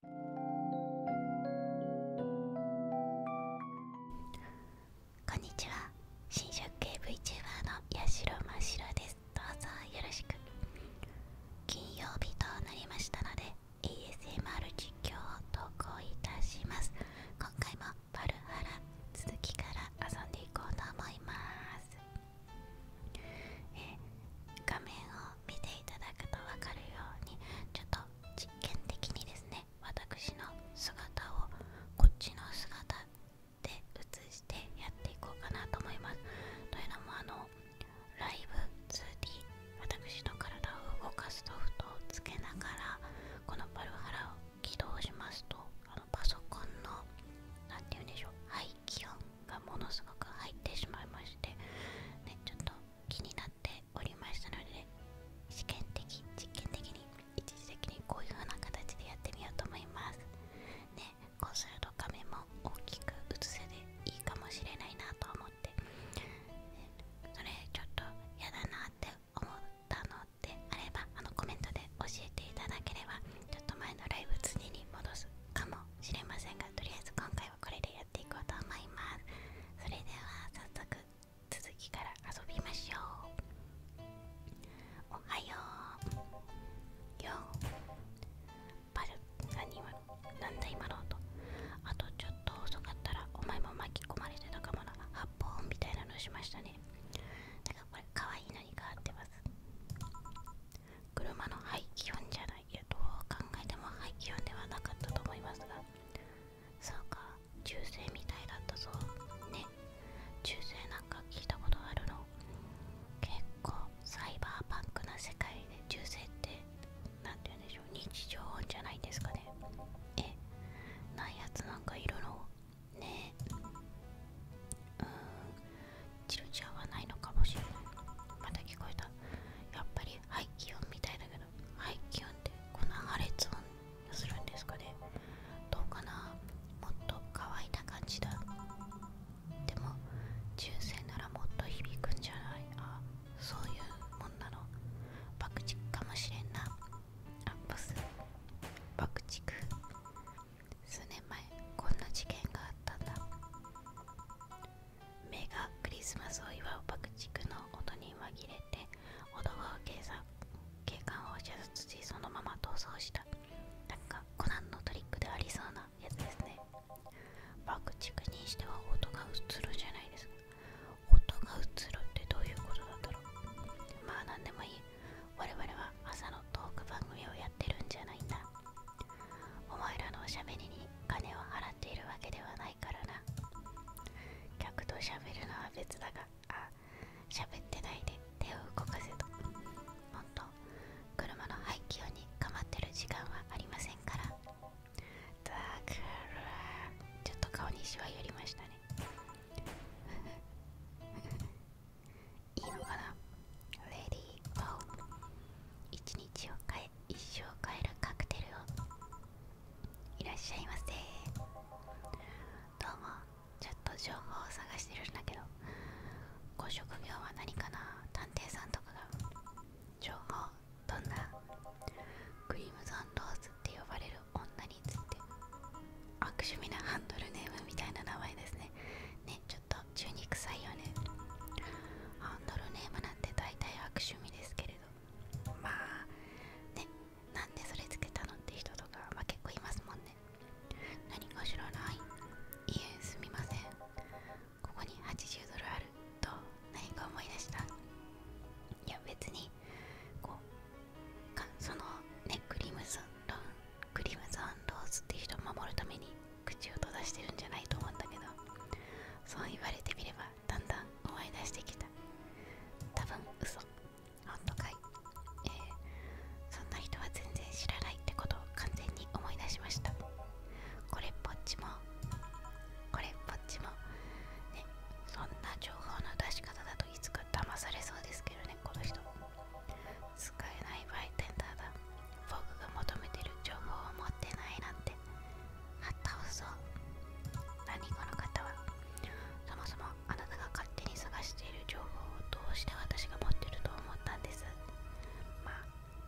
こんにちは新宿系 VTuber のやしろまですどうぞよろしく金曜日となりましたので ASMR 実況を投稿いたします今回もバルハラ続きから遊んでいこうと思いますえ画面を見ていただくと分かるようにちょっと実験的にですね私の姿をこっちの姿で映してやっていこうかなと思いますというのもあのライブ 2D 私の体を動かすソフトをつけながらこのパルハラを起動しますとあのパソコンの何て言うんでしょう排気音がものすごく入ってしまいまして、ね、ちょっと気になっておりましたので試験的実験的に一時的にこういう風な形でやってみようと思いますねこうすると画面も大きく映せでいいかもしれないなと思ってそれちょっと嫌だなって思ったのであればあのコメントで教えていただければちょっと前のライブ次に戻すかもしれませんがとりあえず今回はこれでやっていこうと思いますそれでは早速続きから遊びましょうおはようよバル何今なんだ今の音あとちょっと遅かったらお前も巻き込まれてたかもな発砲音みたいなのしましたねなんかこれ可愛いのに変わってます車の排気音じゃないいうと考えても廃棄音ではなかったと思いますがそうか中世みたいだったぞね中世なんか聞いたことあるの結構サイバーパンクな世界で中世って何て言うんでしょう日常音じゃないですかねえないやつなんかいるのねえうんチルチャーはないのかもしれないまた聞こえたやっぱりい気音みたいだけど排気温ってこの破裂音するんですかねどうかなもっと乾いた感じだでも中世ならもっと響くんじゃないあそういうもんなの爆竹かもしれんなあボス爆竹数年前こんな事件があったんだ目がクリスマスを祝う爆竹の音に紛れて男が警察警官を射殺しそのまま逃走したなんかコナンのトリックでありそうなやつですね爆竹にしては音が映るじゃないですか音が映るってどういうことだったろうまあ何でもいい我々は朝のトーク番組をやってるんじゃないんだお前らのおしゃべりに金を払っているわけではないからな客としゃべるのは別だがあしゃべってないで手を動かせとほんと車の排気音にかまってる時間はありませんからだからちょっと顔にしわ寄りましたね いいのかなレディーゴー一日を変え帰一生買るカクテルをいらっしゃいませどうもちょっと情報を探してるんだけどご職業は何かな探偵さんとかが情報どんなクリームゾンローズって呼ばれる女についてア悪趣味なハンドルネームみたいな名前ですねねちょっと中に臭いよねハンドルネームって大体悪趣味ですけれどまあねなんでそれつけたのって人とか、ま結構いますもんね何か知らないいえすみませんここに80ドルあると何か思い出したいや別にこうかそのねクリムゾンロンクリムゾンローズって人を守るために口を閉ざしてるんじゃないと思ったけどそう言われてみればだんだん思い出してきた多分嘘本当かいえー、そんな人は全然知らないってことを完全に思い出しましたこれっぽっちもこれっぽっちもねそんな情報の出し方だといつか騙されそうですけどねこの人使えないバイテンダーだ僕が求めてる情報を持ってないなんてあったうそ何この方はそもそもあなたが勝手に探している情報をどうして私が持ってると思ったんですま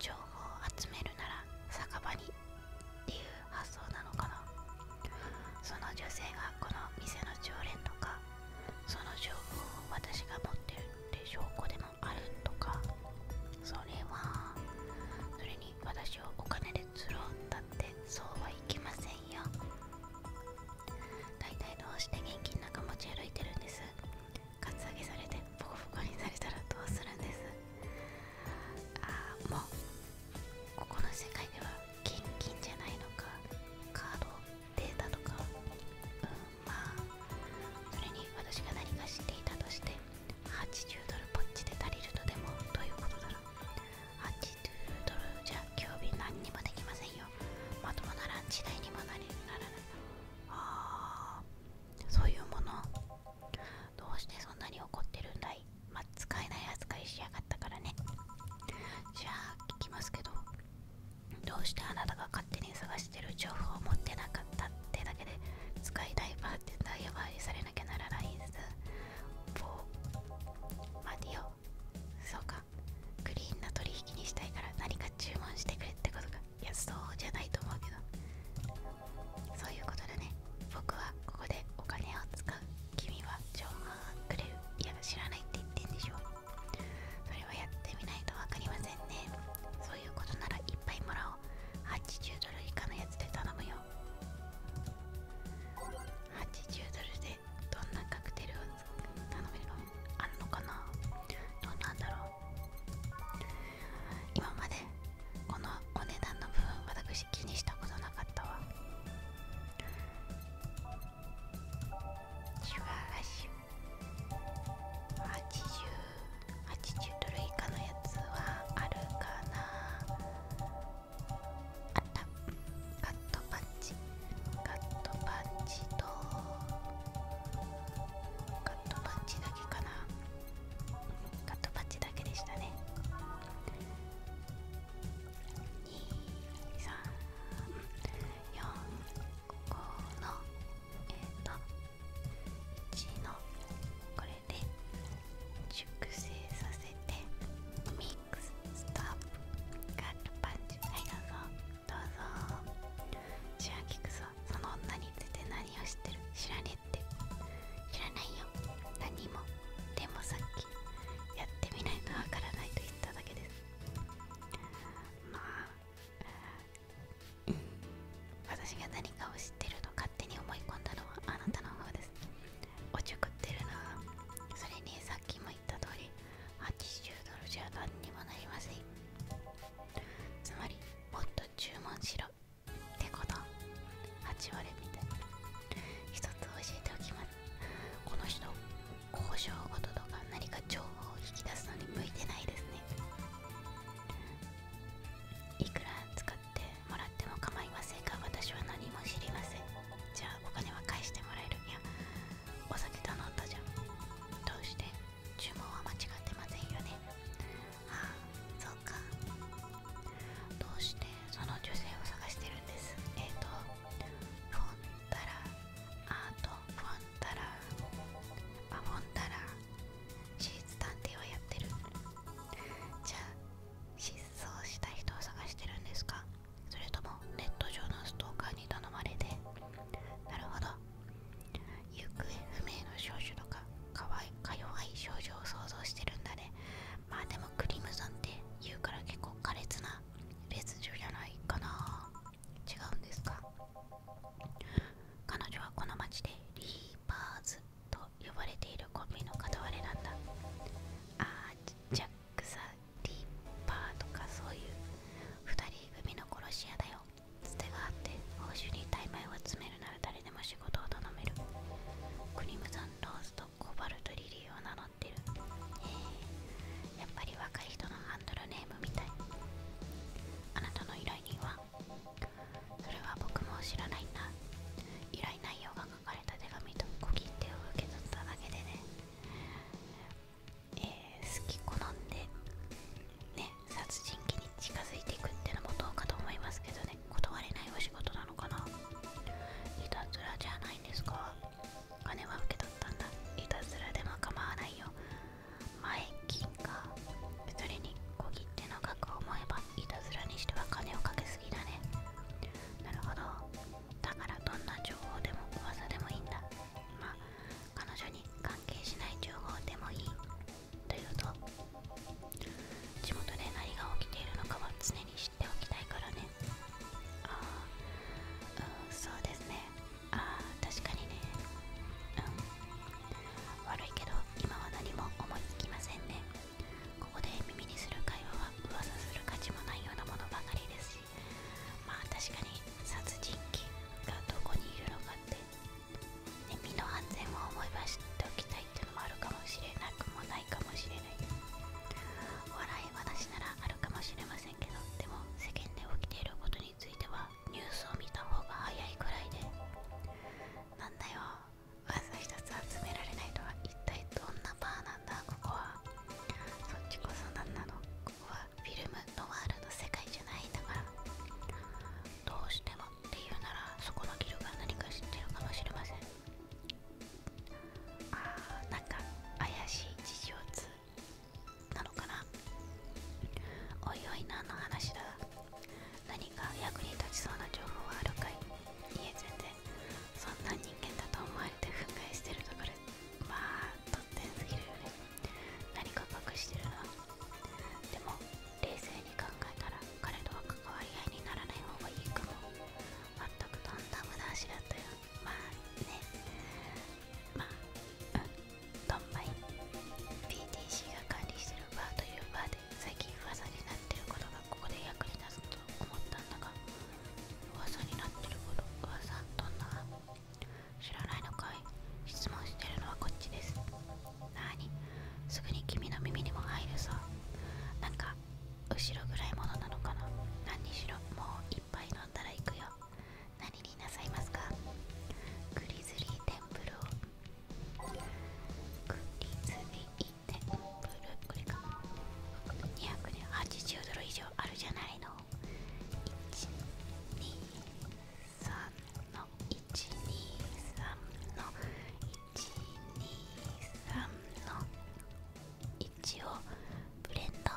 情報を集めるなら酒場にっていう発想なのかなその女性がこの店の常連とかその情報を私が持ってるって証拠であるとかそれはそれに私をお金で釣ろうだってそうはいきませんよ大体どうして現金なんか持ち歩いてるんですカツアゲされてポコポコにされたらどうするんですああもうここの世界では現金じゃないのかカードデータとかうんまあそれに私が何か知っていたとして80ドルポッチで足りるとでもどういうことだろう80ドルじゃ今日日何にもできませんよまともなランチ代にもなりならないあそういうものどうしてそんなに怒ってるんだいま使えない扱いしやがったからねじゃあ聞きますけどどうしてあなたが勝手に探してる情報を持ってなかったってだけで使いたいバって代替されなきゃならないですマディオそうかクリーンな取引にしたいから何か注文してくれってことかいやそうじゃないと思うけどそういうことだね僕はここでお金を使う君は情報をくれるいや知らないって言ってんでしょう。それはやってみないと分かりませんねそういうことならいっぱいもらおう80ドル以下のやつで頼むよ80ドルでどんなカクテルを頼めるのあるのかなどんなんだろう今までこのお値段の部分私気にしたことなかったわしゅわしゅ。ッシュ80 80ドル以下のやつはあるかなあったカットパンチカットパンチとカットパンチだけかなカットパンチだけでしたね234ここのえっ、1のこれで熟成させてミックスストップガットパンチはいどうぞどうぞシュラキクソその女について何を知ってる知らねって知らないよ何もでもさっきやってみないとわからないと言っただけですまあうん私が何かを知ってると勝手に思い込んだのはあなたの方ですおちょくってるなそれにさっきも言った通り80ドルじゃ何にもなりませんつまりもっと注文しろってこと8割みたいな。1つ教えておきますこの人交渉ごととか何か情報を引き出すのに向いてないですねいくら使てもらっても構いませんが私は何も知りませんじゃあお金は返してもらえるにゃ。お酒頼んだじゃんどうして注文は間違ってませんよねああそうかどうしてその女性を探してるんですえっ、とフォンタラアートフォンタラあフォンタラ事実探偵はやってるじゃあ失踪した人を探してるんですかそれともネット上のストーカーに頼まれてなるほど行方不明の少女とかかわいか弱い少女を想像してるんだねまあでもクリムゾンって言うから結構苛烈な別女じゃないかな違うんですか彼女はこの町でリーパーズと呼ばれているコンビの片割れなんだあージャック・ディーパーとかそういう2人組の殺し屋だよつてがあって報酬に大枚を詰めるなら誰でも仕事を頼めるクリムゾン・ローズとコバルト・リリーを名乗ってるえやっぱり若い人のハンドルネームみたいあなたの依頼人はそれは僕も知らないな。だ依頼内容が書かれた手紙と小切手を受け取っただけでね、え好き好んでね殺人鬼に近づいていくってのもどうかと思いますけどね断れないお仕事なのかないたずらじゃないんですか金は受け取ったんだいたずらでも構わないよ前金金それに小切手の額を思えばいたずらにしては金をかけすぎだねなるほどだからどんな情報でも噂でもいいんだまあ彼女に関係しない情報でもいいというと地元で何が起きているのかは常に知っておきたいからねああ、うん、そうですねああ確かにねうん悪いけど今は何も思いつきませんねここで耳にする会話は噂する価値もないようなものばかりですしまあ確かに殺人鬼がどこにいるのかって身の安全を思い出しておきたいってのもあるかもしれなくもないかもしれない笑い話ならあるかもしれませんけどでも世間で起きていることについてはニュースを見た方が早いくらいでなんだよわざ一つ集められないとは一体どんなバーなんだここはそっちこそ何なのここはフィルムノワールの世界じゃないんだからどうしてもっていうならそこのギルが何か知ってるかもしれませんあーなんか怪しい事情通なのかなおいおい何の話だ何か役に立ちそうな情報はあるかいいえ全然そんな人間だと思われて憤慨してるところまあ突然すぎるよね何か隠してるなでも冷静に考えたら彼とは関わり合いにならない方がいいかも全くとんだ無駄足だったよまあねまあうんドンマイ PTC が管理してるバーというバーって最近噂になってることがここで役に立つと思ったんだが噂になってること噂どんな知らないのかい質問してるのはこっちですなーにすぐに君の耳にも入るさなんか後ろ暗いものなのかな何にしろもういっぱい飲んだら行くよ何になさいますかグリズリーテンプルをクリズミ1て、ブルこれか280ドル以上あるじゃないの123の123の123の一応ブレンド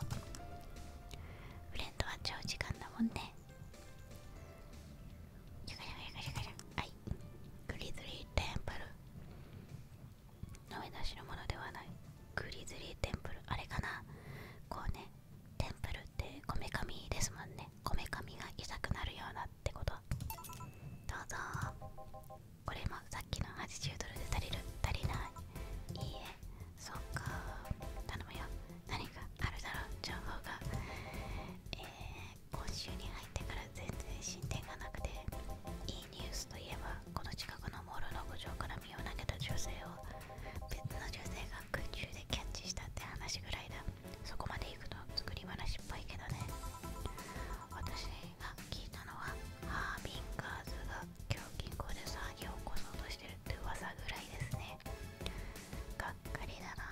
ブレンドは長時間だもんねはいグリズリーテンプル飲み出しのものではないグリズリーテンプルあれかなこうねテンプルってこめかみですもんねこめかみが痛くなるようなってことどうぞこれもさっきの80ドルで足りる足りないいいえそっか頼むよ何かあるだろう情報がえー今週に入ってから全然進展がなくていいニュースといえばこの近くのモールの屋上から身を投げた女性を別の女性が空中でキャッチしたって話ぐらいだそこまで行くと作り話っぽいけどね私が聞いたのはハービンガーズが今日銀行で騒ぎを起こそうとしてるって噂ぐらいですねがっかりだな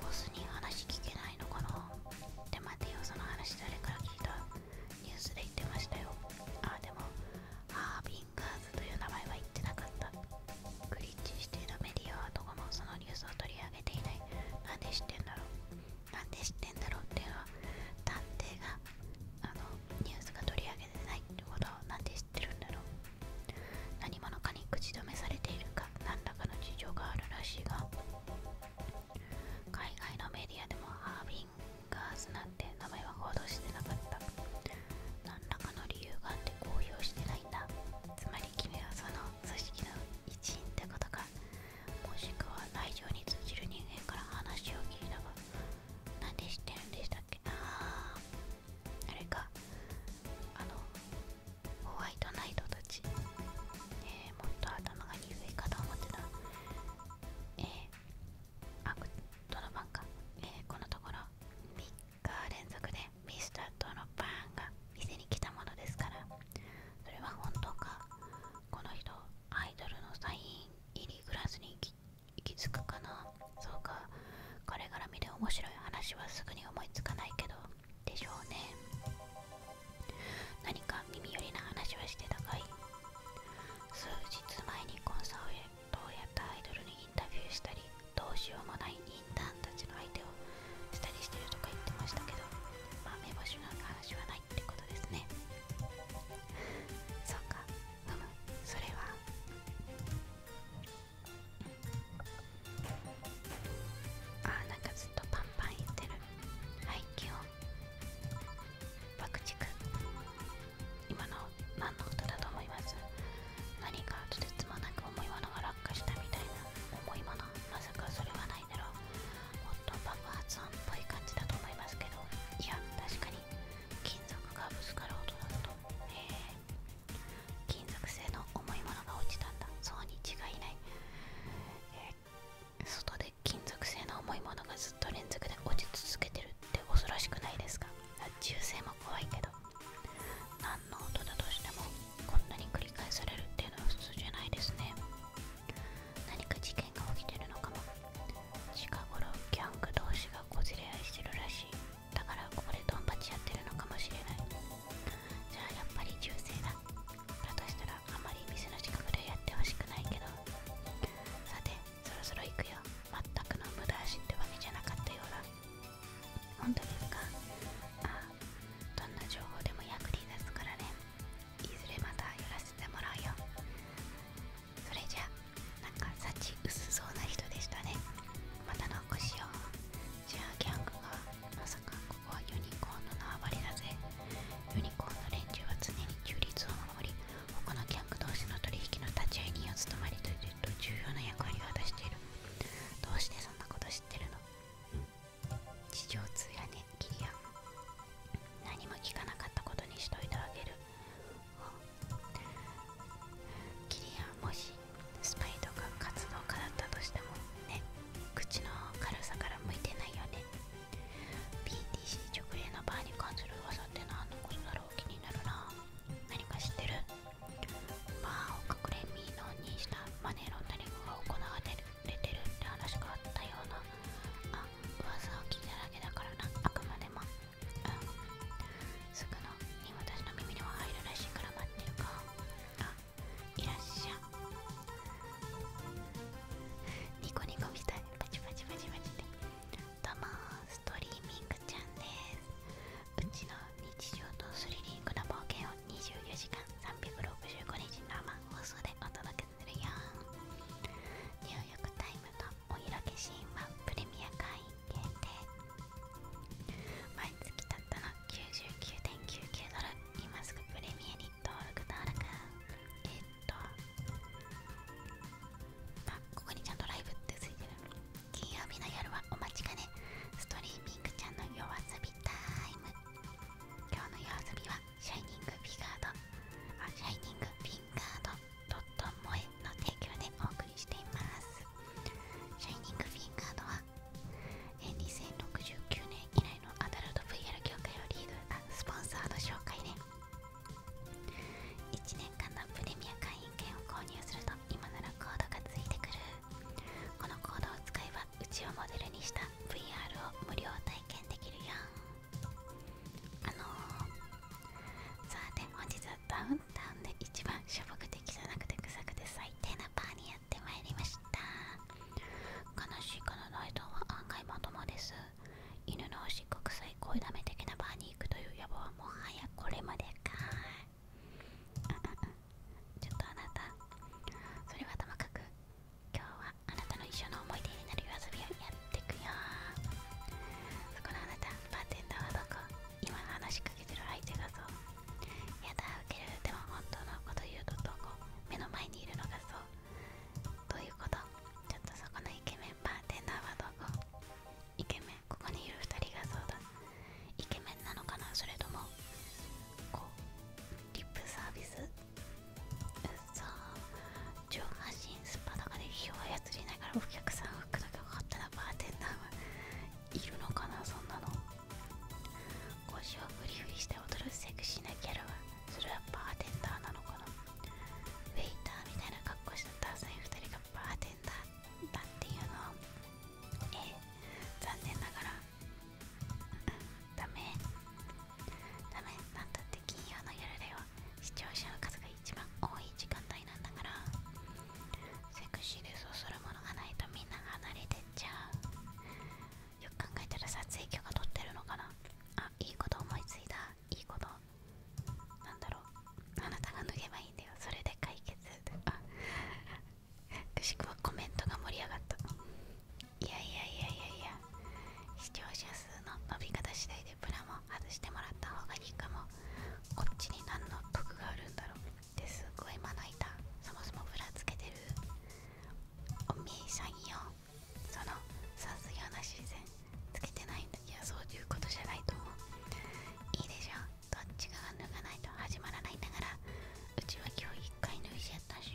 ボスに話聞けないのかなで待てよその話誰から聞いたニュースで言ってましたよあでもハービンガーズという名前は言ってなかったクリッチしてのメディアはどこもそのニュースを取り上げていないなんで知ってんだろうなんで知ってんだろうっは探偵があのニュースが取り上げてないってことはなんで知ってるんだろう何口止めされているか何らかの事情があるらしいが海外のメディアでもハービンガーズなんて名前は報道してなかった何らかの理由があって公表してないんだつまり君はその組織の一員ってことかもしくは内情に通じる人間から話を聞いたがなんで知ってるんでしたっけな？ああれかあのホワイトナイトたち、えもっと頭が鈍いかと思ってた、えー、あドロパンか、えこのところ3日連続でミスタードロパンが店に来たものですからそれは本当かこの人アイドルのサイン入りグラスに行き着くかなそうか彼から見て面白い話はすぐに思いつかないけどでしょうね何か耳寄りな話はしてたかい数日前にコンサートをやったアイドルにインタビューしたりどうしようもないインターンたちの相手をしたりしてるとか言ってましたけどまあ目星の話はないってことですね そうかうむそれはあなんかずっとパンパン言ってるはい気温爆竹今の何の音だと思います何かとてつもなく重いものが落下したみたいな重いものまさかそれはないだろうもっと爆発音っぽい感じだと思いますけどいや確かに金属がぶつかる音だと金属製の重いものが落ちたんだそうに違いない、え外で金属製の重いものがずっと連続で落ち続けてるって恐ろしくないですか銃声も怖いけど何の音だとしてもこんなに繰り返されるっていうのは普通じゃないですね何か事件が起きてるのかも近頃ギャング同士がこじれ合いしてるらしいだからここでドンパチやってるのかもしれないじゃあやっぱり中性だだとしたらあまり店の近くでやってほしくないけどさてそろそろ行くよ全くの無駄足ってわけじゃなかったようだ本当ですかああどんな情報でも役に立つからねいずれまた寄らせてもらうよそれじゃあなんか幸薄そうな人でしたねまたのじゃあギャングがまさかここはユニコーンの縄張りだぜユニコーンの連中は常に中立を守り他のギャング同士の取引の立ち会い人を務まりというと重要な役割を果たしているどうしてそんなこと知ってるの地上通やねキリア何も聞かなかったことにしといてあげるキリアもしスパイとか活動家だったとしてもね口の軽さから向いてないよね PTC 直営のバーに関する噂って何のことだろう気になるな何か知ってるバーを隠れみのにしたマネーロンダリングが行われてるって話があったようなあ噂を聞いただけだからなあくまでもうんすぐのに私の耳には入るらしいから待ってるかあいらっしゃニコニコみたいパチパチパチパチでどうもストリーミングちゃんですうちの日常とスリリングな冒険を24時間365日生放送でお届けするよニューヨークタイムのお色気シーンはプレミア会員限定毎月たったの99.99ドル今すぐプレミアに登録登録えっとあここにちゃんとライブってついてる金曜日の夜はお待ちかねストリーミングちゃんの夜遊びタイム今日の夜遊びはシャイニングフィガードあシャイニングフィンガードドット萌えの提供でお送りしていますシャイニングフィンガードはえ2069年以来のアダルト VR 業界をリードあスポンサード紹介ね1年間のプレミア会員券を購入すると今ならコードがついてくるこのコードを使えばうちをモデルにした VR を無料体験できるよあのー、さて本日はダウンタウンで一番しょ的じゃなくて臭くて最低なバーにやてまいりました悲しいかの内臓は案外まともです犬のおしっこ臭い声だめ的なバーに行くという野望はもはやこれまでかー、ちょっとあなたそれはともかく今日はあなたの一緒の思い出になる夜遊びをやってくよそこのあなたバーテンダーはどこ今話しかけてる相手だぞやだウケるでも本当のこと言うとどこ目の前にいるのがそうどういうことちょっとそこのイケメンバーテンダーはどこイケメンここにいる2人がそうだイケメンなのかなそれともこうリップサービスうっそ上半身スパとかで火を操りながらお客さんを服だけを買ったらバーテンダーはいるのかなそんなの腰をフリフリして踊るセクシーなギャラはそれはバーテンダーなのかなウェイターみたいな格好したダサい2人がバーテンダーだっていうのはええ残念ながら、ダメダメなんだって金曜のギャ夜では視聴者の数が一番多い時間帯なんだからセクシーでそうするものがないとみんな離れてじゃんよく考えたら撮影許可取ってるのかなあいいこと思いついたいいことなんだろうあなたが脱げばいいんだよそれで解決あくしくはコメントが盛り上がったいやいやいやいやいや視聴者数の伸び方次第でプラも外してもらった方がいいかもこっちに何の得があるんだろうっすごいまな板そもそもぶらつけてるおみえさんよそのさすような自然つけてないんだいやそういうことじゃないと思ういいでしょどっちが脱がないと始まらないんだからうちは今日一回脱いじゃったし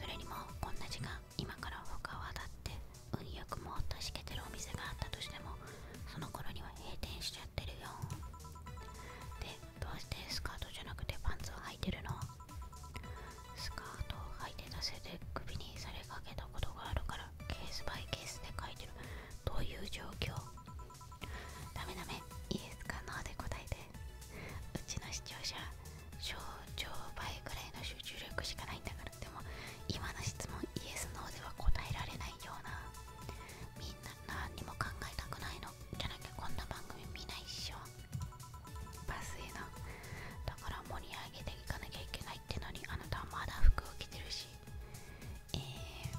それにもこんな時間今から他はだって運よくも助けてるお店があったとしてもその頃には閉店しちゃでどうしてスカートじゃなくてパンツを履いてるのスカートを履いてたせて首にされかけたことがあるからケースバイケースで書いてるどういう状況ダメダメイエスかノーで答えてうちの視聴者症状倍くらいの集中力しかないんだからでも今の質問イエスノーでは答えられないようなみん何も考えたくないのじゃなきゃこんな番組見ないっしょバスへなだから盛り上げていかなきゃいけないってのにあなたはまだ服を着てるしえー、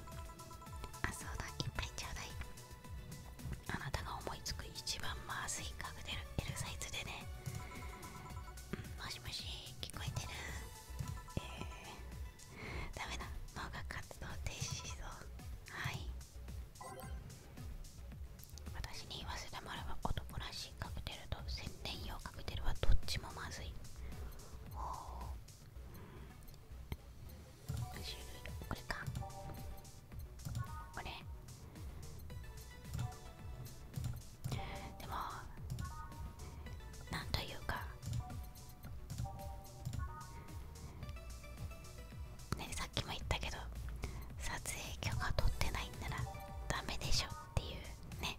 あそうだいっぱいちょうだいあなたが思いつく一番まずいカクテル L サイズでね、もしもし聞こえてるえダメだ脳が活動停止しそうはい私に言わせてもらえば男らしいカクテルと宣伝用カクテルはどっちもまずいお種類これかこれでもなんというかねさっきも言ったけど撮影許可取ってないんならダメでしょっていうね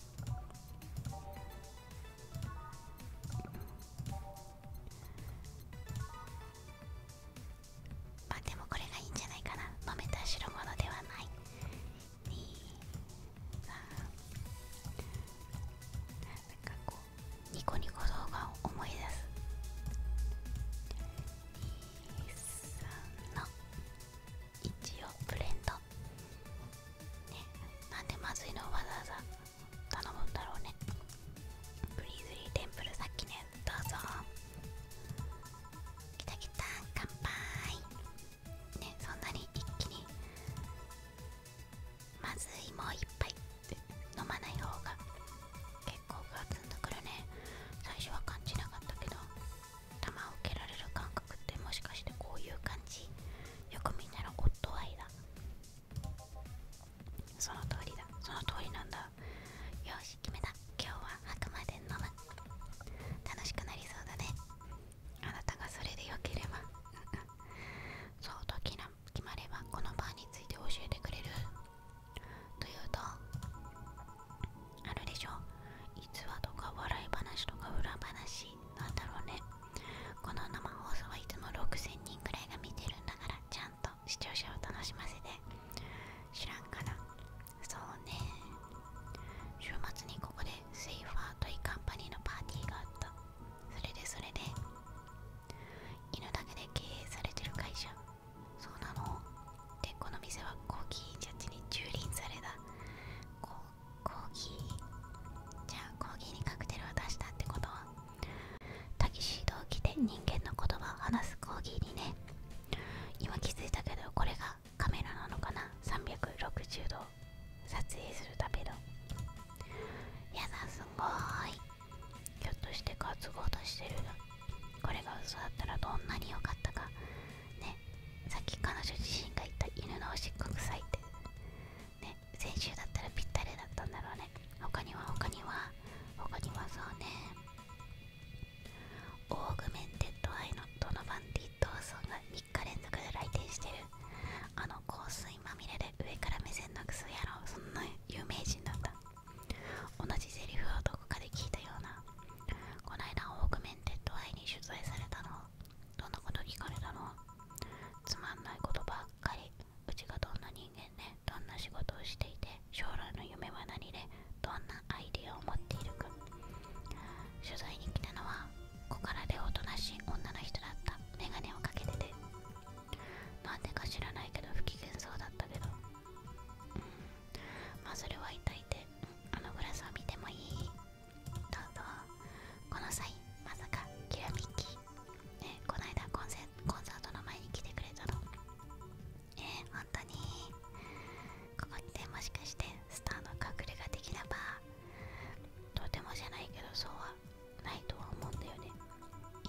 まあでもこれがいいんじゃないかな飲めた代物ではない2 3なんかこニコニコ動画を思い出す23の一応ブレンドねなんでまずいのわざわざ頼むんだろうねブリーズリーテンプルさっきねどうぞきたきた乾杯ねそんなに一気にまずいもう一杯って飲まない方が結構ガツンとくるね最初は感じなかったけど弾を受けられる感覚ってもしかしてこういう感じよくみんなのことはアイだその通りだその通りなんだよし決めた今日はあくまで飲む楽しくなりそうだねあなたがそれでよければそう時の決まればこのバーについて教えてくれるというとあるでしょ逸話とか笑い話とか裏話なんだろうねこの生放送はいつも6000人くらいが見てるんだからちゃんと視聴者を楽しませて知らんかなそうね週末にここでセイファートイカンパニーのパーティーがあったそれでそれで犬だけで経営されてる会社そうなのでこの店はコーギージャッジに蹂躙されたココーギーじゃあコーギーにカクテルを出したってことはタキシードを着て人間の言葉を話すコーギーにね今気づいたけどこれがカメラなのかな360度撮影するためのやだすごいひょっとして担ごうとしてるこれが嘘だったらどんなに良かったかねさっき彼女自身が言った犬のおしっこ臭いってね先週だったらぴったりだったんだろうね他には他には他にはそうねオーグメンテッドアイのドノバン・ディ・ドーソンが3日連続で来店してるあの香水まみれで上から目線のクソ野郎そんな有名人だった同じセリフをどこかで聞いたようなこないだオークメンテッド愛に取材されたのどんなこと聞かれたのつまんないことばっかりうちがどんな人間でどんな仕事をしていて将来の夢は何でどんなアイディアを持っているか取材に来たのは小柄でおとなしい女の人だった眼鏡をかけててなんでか知らないけど不機嫌そうだったけど、うん、まあそれはいたいて、あのグラスを見てもいいどうぞこの際まさかキラミッキーえこないだコンサートの前に来てくれたのえー、本当にここにてもしかしてスターの隠れ家できればとてもじゃないけどそうはないとは思うんだよね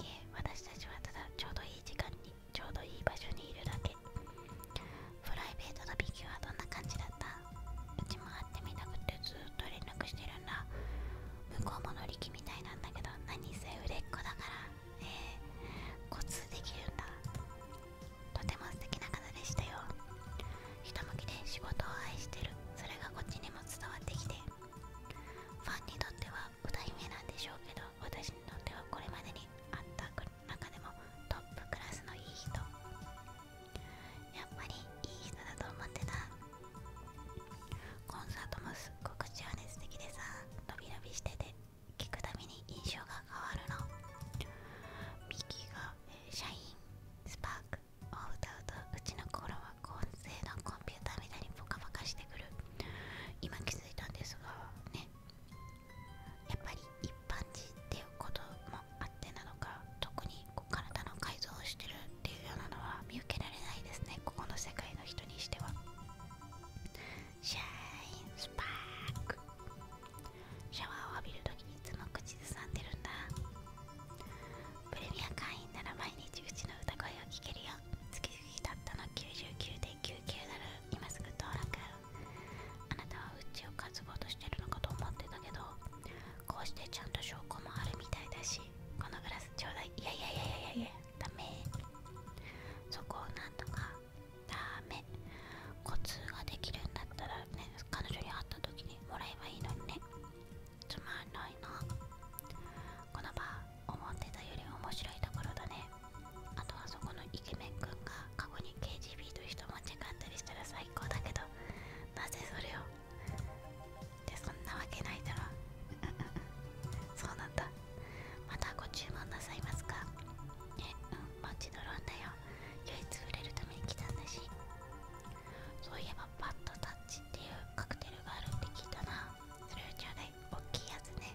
いえ私たちはただちょうどいい時間にちょうどいい場所にいるだけプライベートのビキはどんな感じだったうちも会ってみたくてずっと連絡してるんだ向こうも乗り気みたいなんだけど何せ売れっ子だからえコツできるんだとても素敵な方でしたよひと向きで仕事を愛してるそれがこっちにも伝わってきてファンにとっては代目なんでしょうけど私にとってはこれまでにあった中でもトップクラスのいい人やっぱりいい人だと思ってたコンサートもすっごく情熱的でさ伸び伸びしてて聞くたびに印象が変わるのミキが、えー、シャインスパークを歌うとうちの頃は音声のコンピューターみたいにぽかぽかしてくる今気づいたんですがねやっぱり一般人っていうこともあってなのか特にこう体の改造をしてるっていうようなのは見受けられないですねここの世界の人にしてはシャインスパークシャワーを浴びるときいつも口ずさんでるんだプレミア会員なら毎日うちの歌声を聴けるよ月々たったの99.99 .99 なる今すぐ登録あなたはうちを担ごうとしてるのかと思ってたけどこうしてちゃんと証拠もあるみたいだしこのグラスちょうだいいやいやいやいやいやダメそこをなんとかダメコツができるんだったらね彼女に会った時にもらえばいいのにねつまんないなこの場思ってたより面白いところだねあとはそこのイケメンくんが過去に KGB と人間違ったりしたら最高だけどなぜそれをでそんなわけないだろ そうなんだまたご注文なさいますかえうんもちろんだよ唯一触れるために来たんだしそういえばバッドタッチっていうカクテルがあるって聞いたなそれをちょうだい大きいやつね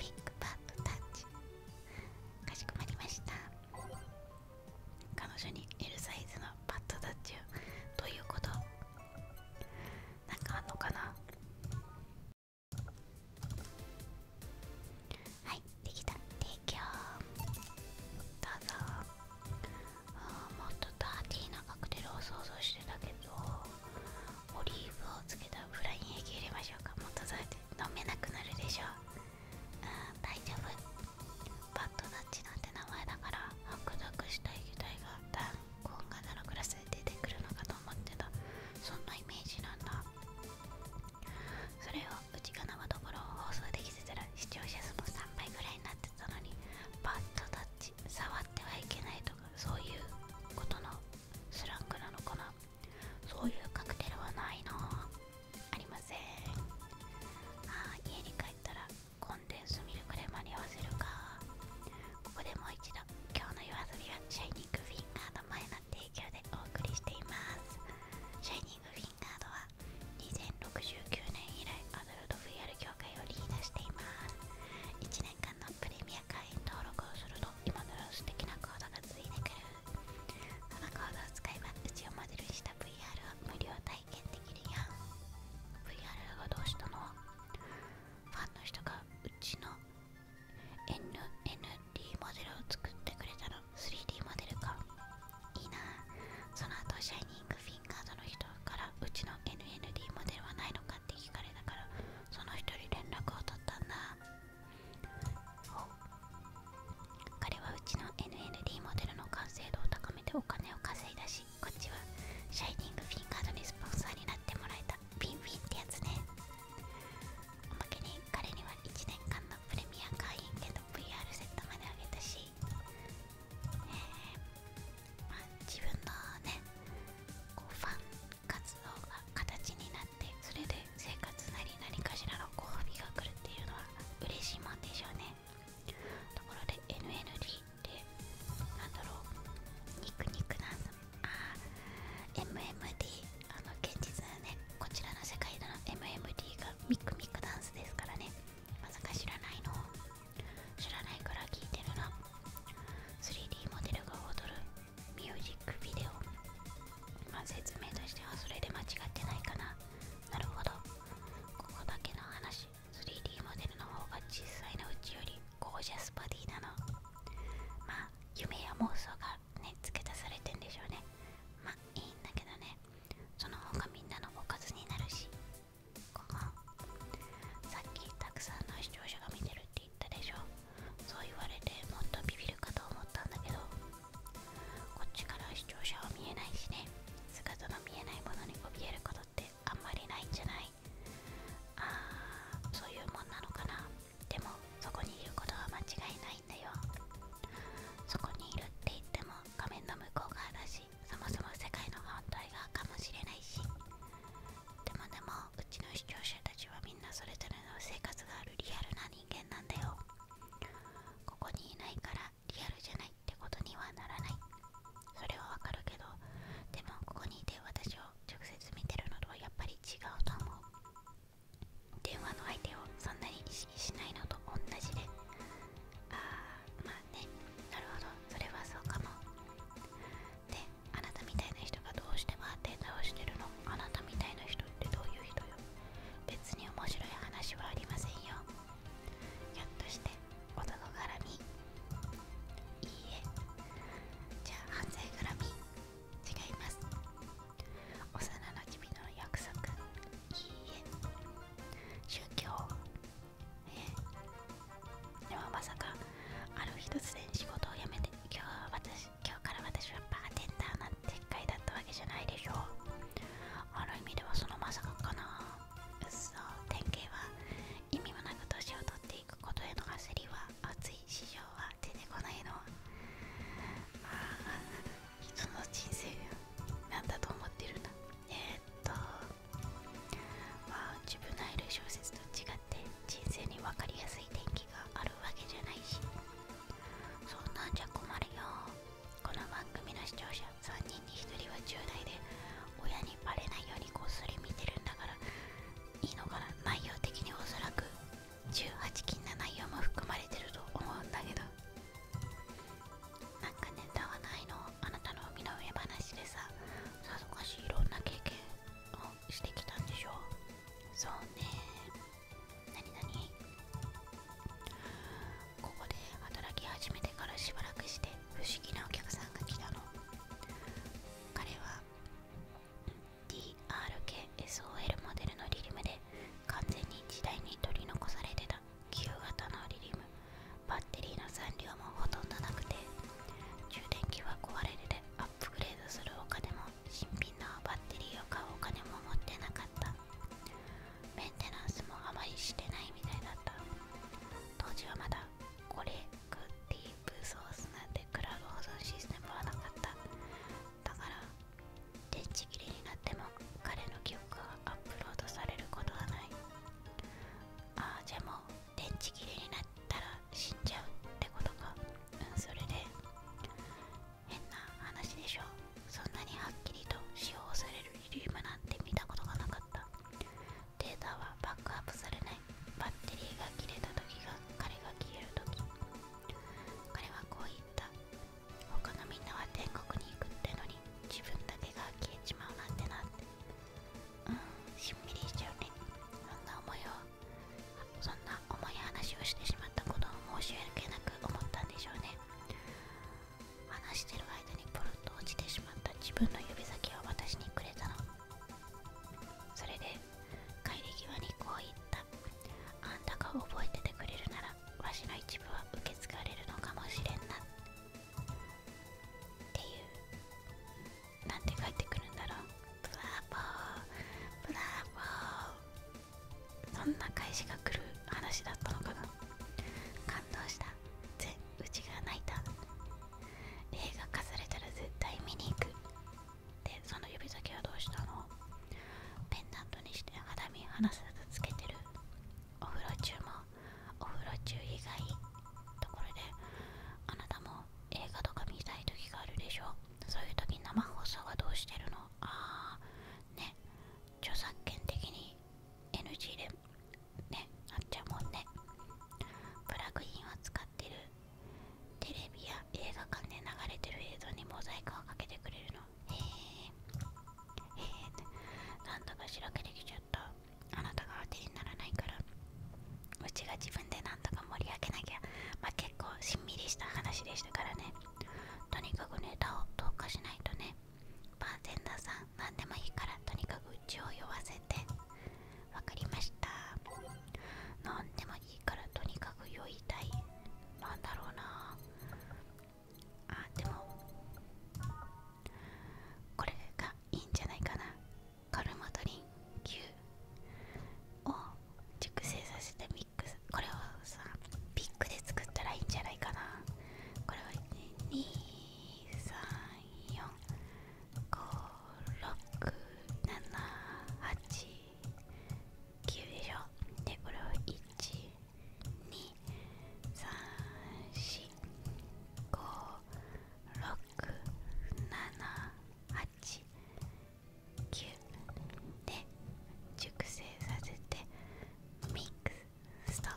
ビッグバッドタッチかしこまりました彼女に L サイズのバッドタッチをどういうことなんかあんのかなはいできた提供どうぞあもっとダーティーなカクテルを想像してたけどオリーブをつけたフライに液入れましょうかもっとそうて飲めなくなるでしょうん大丈夫バッドタッチなんて名前だから白濁した液体が弾痕が7クラスで出てくるのかと思ってたそんなイメージなんだそれをうちが生どころを放送できてたら視聴者数も3倍ぐらいになってたのにバッドダッチ触ってはいけないとかそういうことのスラングなのかなそういうカクテルはないのありませんあ家に帰ったらコンデンスミルクで間に合わせるかここでもう一度今日の夜遊びはシャイニングフィンガード前の提供でお送りしていますシャイニングフィンガードは2069年以来ルと VR をリードしています1年間のプレミア会員登録をすると今のような素敵なコードがついてくるそのコードを使えばうちをモデルにした VR を無料体験できるやん VR がどうしたのファンの人がうちの NND モデルを作ってくれたの 3D モデルかいいなその後シャイニングフィインカードの人からうちの NND モデルはないのかって聞かれたからその人に連絡を取ったんだ彼はうちの NND モデルの完成度を高めてお金を稼いだしこっちはシャイニングフィンカードにスポンサーになってもらえたビンビンってやつねおまけに彼には1年間のプレミア会員権の VR セットまであげたしえま自分のねこうファン活動が形になってそれで生活なり何かしらのご褒美が来るっていうのは嬉しいもんでしょうねところで NND ってなんだろうニクニクなんだあー MMD あの現実はねこちらの世界での MMD がミクミクダンスですからねまさか知らないの知らないから聞いてるな 3D モデルが踊るミュージックビデオま説明としてはそれで間違ってないかななるほどここだけの話 3D モデルの方が小さいのうちよりゴージャスバディなのまあ夢や妄想がね付け足されてんでしょうねまあいいんだけどねその方がみんなのおかずになるしかなさっきたくさんの視聴者が見てるって言ったでしょそう言われてもっとビビるかと思ったんだけどこっちから視聴者は見えないしね姿の見えないものに怯えることってあんまりないんじゃないあーそういうもんなのかなでもそこにいることは間違いないんだよそこにいるって言っても画面の向こう側だしそもそも世界の反対側かもしれないしでもでもうちの視聴者たちはみんなそれぞれの生活があるリアルな人間なんだよここにいないからリアルじゃないってことにはならないそれはわかるけどでもここにいて私を直接見てるのとはやっぱり違うと思う電話の相手をそんなに意識しないのと同じでああまねなるほどそれはそうかもであなたみたいな人がどうしてもって直してるのあなたみたいな人ってどういう人よ別に面白い話はありませんよひょっとして男絡みいいえじゃあ犯罪絡み違います幼なじみの約束いいえ宗教え、でもまさかある日突然仕事を辞めて今日は私今日から私はバーテンダーなんて回だったわけじゃないでしょうある意味ではそのまさかかなうっそ典型は意味もなく年を取っていくことへの焦りは熱い市場は出てこないのああ人の人生なんだと思ってるんだえっとまあ自分のいる小説と違って人生に分かりやすい天気があるわけじゃないしそんなんじゃ困るよこの番組の視聴者3人に1人は10代で親にバレないようにこっそり見てるんだからいいのかな内容的におそらく18禁な内容も含まれてると思うんだけどなんかネタはないのあなたの身の上話でささぞかしいろんな経験をしてきたんでしょうそうねなになここで働き始めてからしばらくして不思議なお客さんが来たの彼は DRKSOL モデルのリリムで完全に時代に取り残されてた旧型のリリムバッテリーの残量もほとんどなくて充電器は壊れるでアップグレードするお金も新品のバッテリーを買うお金も持ってなかったメンテナンスもあまりしてないみたいだった当時はまだコレクティープソースなんてクラブド保存システムはなかっただから電池切れになっても彼の記憶がアップロードされることはないああじゃも電池切れになったら死んじゃうってことかうんそれで変な話でしょそんなにはっきりと使用されるリリウムなんて見たことがなかったデータはバックアップされないバッテリーが切れた時が彼が消える時彼はこう言った他のみんなは天国に行くってのに自分だけが消えちまうなんてなってうんしんみりしちゃうねそんな思いをそんな重い話をしてしまったことを申し訳なく思ったんでしょうね話してる間にポロッと落ちてしまった自分の指先を私にくれたのそれで帰り際にこう言ったあんたが覚えててくれるならわしの一部は受け継がれるのかもしれんなっていうなんて帰ってくるんだろうブラボーブラボーそんな返しが来る話だったのかな感動したぜうちが泣いた映画化されたら絶対見に行くでその指先はどうしたのペンダントにして肌身離さずつけてるお風呂中もお風呂中以外ところであなたも映画とか見たい時があるでしょそういう時生放送はどうしてるのああね著作権的に NG でねあっちゃうもんねプラグインは使ってるテレビや映画館で流れてる映像にモザイクをかけてくれるのへえへえなんとかしらけてきちゃとあなたが当てにならないからうちが自分で何とか盛り上げなきゃま結構しんみりした話でしたからねとにかくネタを投下しないとね万全テさん何でもいいからとにかくうちを酔わせて分かりました何でもいいからとにかく酔いたい何だろうなあでもこれがいいんじゃないかなカルマドリン9。を熟成させてミックスこれをさピックで作ったらいいんじゃないかなこれは2345678でしょでこれを12345 678。九で熟成させてミックスストッ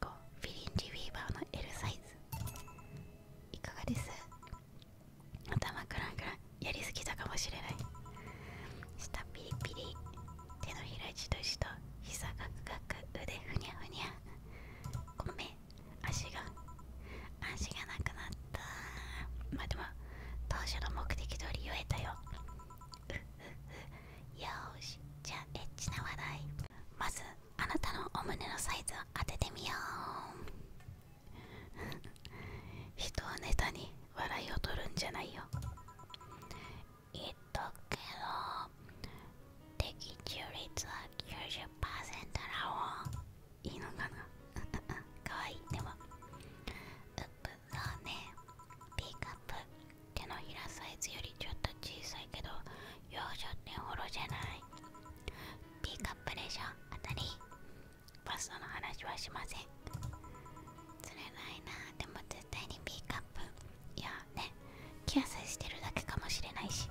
プ5フィリンリウーバーの L サイズいかがです頭クランクランやりすぎたかもしれない下ピリピリ手のひらじとしと膝ガクガク腕ふにゃふにゃごめん足が足がなくなったまでも当初の目的通り言えたよよしじゃあエッチな笑い。まずあなたのお胸のサイズを当ててみよう人はネタに笑いを取るんじゃないよえっだけど的中率は90%だろいいのかなかわ いいでもうっそうねピーカップ手のひらサイズよりちょっと小さいけど幼女ってほろじゃないピーカップでしょ当たりバストの話はしません釣れないなでも絶対にピーカップいやね気痩せしてるだけかもしれないし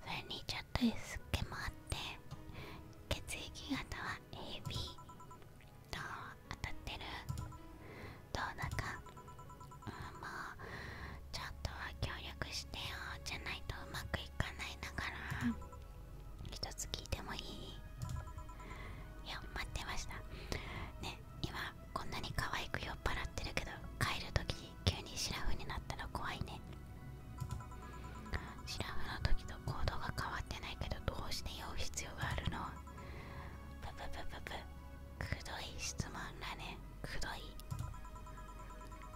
それにちょっとすっけもあって血液型は AB と当たってるどうだか、うん、まあちょっとは協力してよじゃないとうまくいかないんだから一つ聞いてもいいいや待ってましたね今こんなに可愛く酔っ払ってるけど帰る時に急にシラフになったの？怖いねシラフの時と行動が変わってないけどどうして酔う必要があるのブブブブブくどい質問だねくどい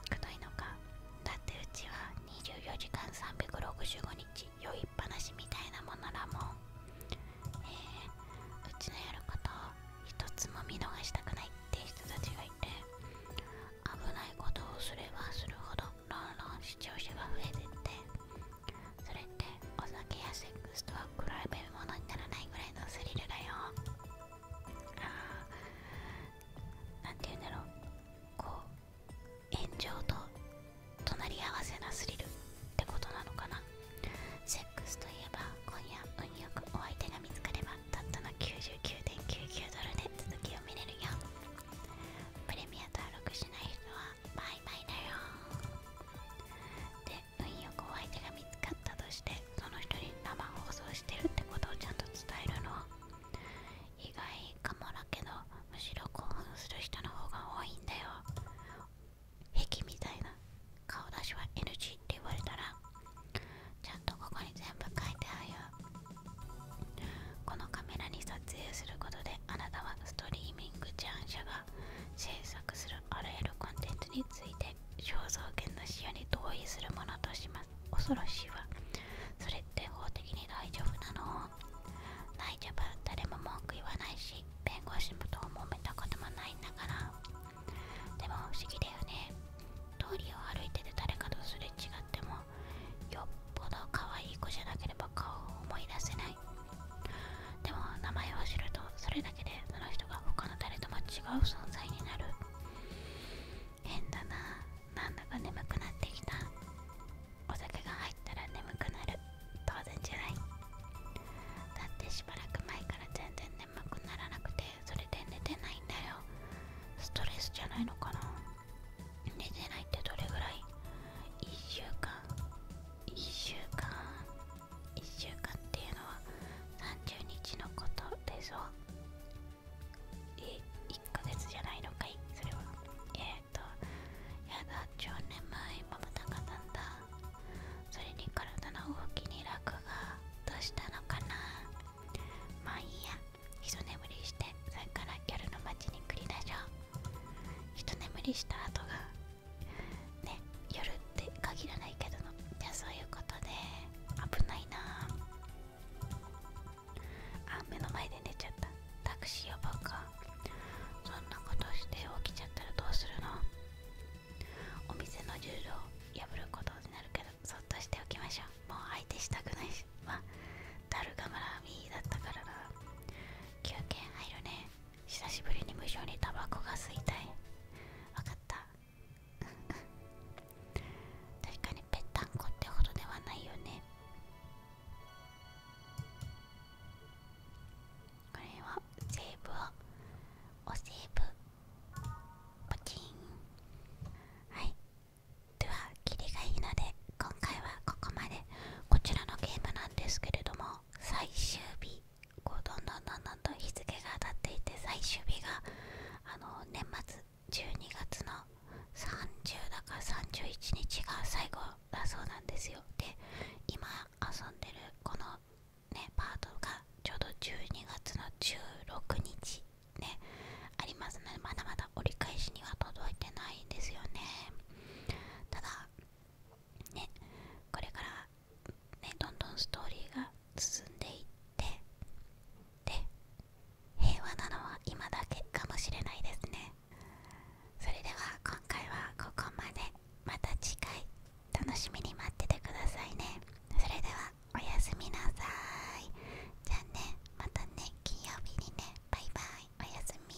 くどいのかだってうちは24時間365日酔いっぱなしみたいなものだもんえうちのやることを一つも見逃したくないって人たちがいて危ないことをすればするほどロンロン視聴者が増えてってそれってお酒やセックスとは比べるものにならないぐらいのスリルだよあなんて言うんだろうこう炎上と隣り合わせなスリルってことなのかなセックスといえば今夜運よくお相手が見つかればたったの99.99ドルで続きを見れるよプレミア登録しない人はバイバイだよで運よくお相手が見つかったとしてその人に生放送してるってことをちゃんと伝えるの意外かもだけどむしろ興奮する人の方が多いんだよ壁みたいな顔出しは NG って言われたらちゃんとここに全部書いてあるこのカメラに撮影することであなたはストリーミングチャン社が制作するあらゆるコンテンツについて肖像権の使用に同意するものとします恐ろしいわそれって法的に大丈夫なのい大丈夫誰も文句言わないし弁護士もともめたこともないんだからでも不思議だよね通りを歩いてて誰かとすれ違ってもよっぽど可愛い子じゃなければ顔を思い出せないでも名前を知るとそれだけでその人が他の誰とも違う存在になる変だななんだか眠くなってきたお酒が入ったら眠くなる当然じゃないだってしばらく前から全然眠くならなくてそれで寝てないんだよストレスじゃないのかな寝てないってどれぐらい1週間1週間1週間っていうのは30日のことでしょえ1ヶ月じゃないのかいそれはえっ、とやだ10年前まぶたかだんだそれに体の動きに楽がどうしたのかなまあいいや一眠りしてそれからギャルの街に繰り出しょう一眠りした後がね夜って限らないけどのじゃあそういうことで危ないなあ目の前で寝ちゃったタクシー呼ぼうかそんなことして起きちゃったらどうするのお店のルー破ることになるけどそっとしておきましょうもう相手したくないしまあダルガだったからな休憩入るね久しぶりに無性にタバコが吸いたいわかった 確かにぺったんこってほどではないよねこれはセーブをおセーブポチンはいではキリがいいので今回はここまでこちらのゲームなんですけれども最終日どんどんどんどん日付が当たっていて最終日が年末12月の30だか31日が最後だそうなんですよで今遊んでるこのねパートがちょうど12月の16日ねありますのでまだまだ折り返しには届いてないんですよねただねこれからねどんどんストーリーが進んでいってで平和なのは今だけかもしれないですねそれでは今回はここまでまた次回楽しみに待っててくださいねそれではおやすみなさいじゃあねまたね金曜日にねバイバイおやすみ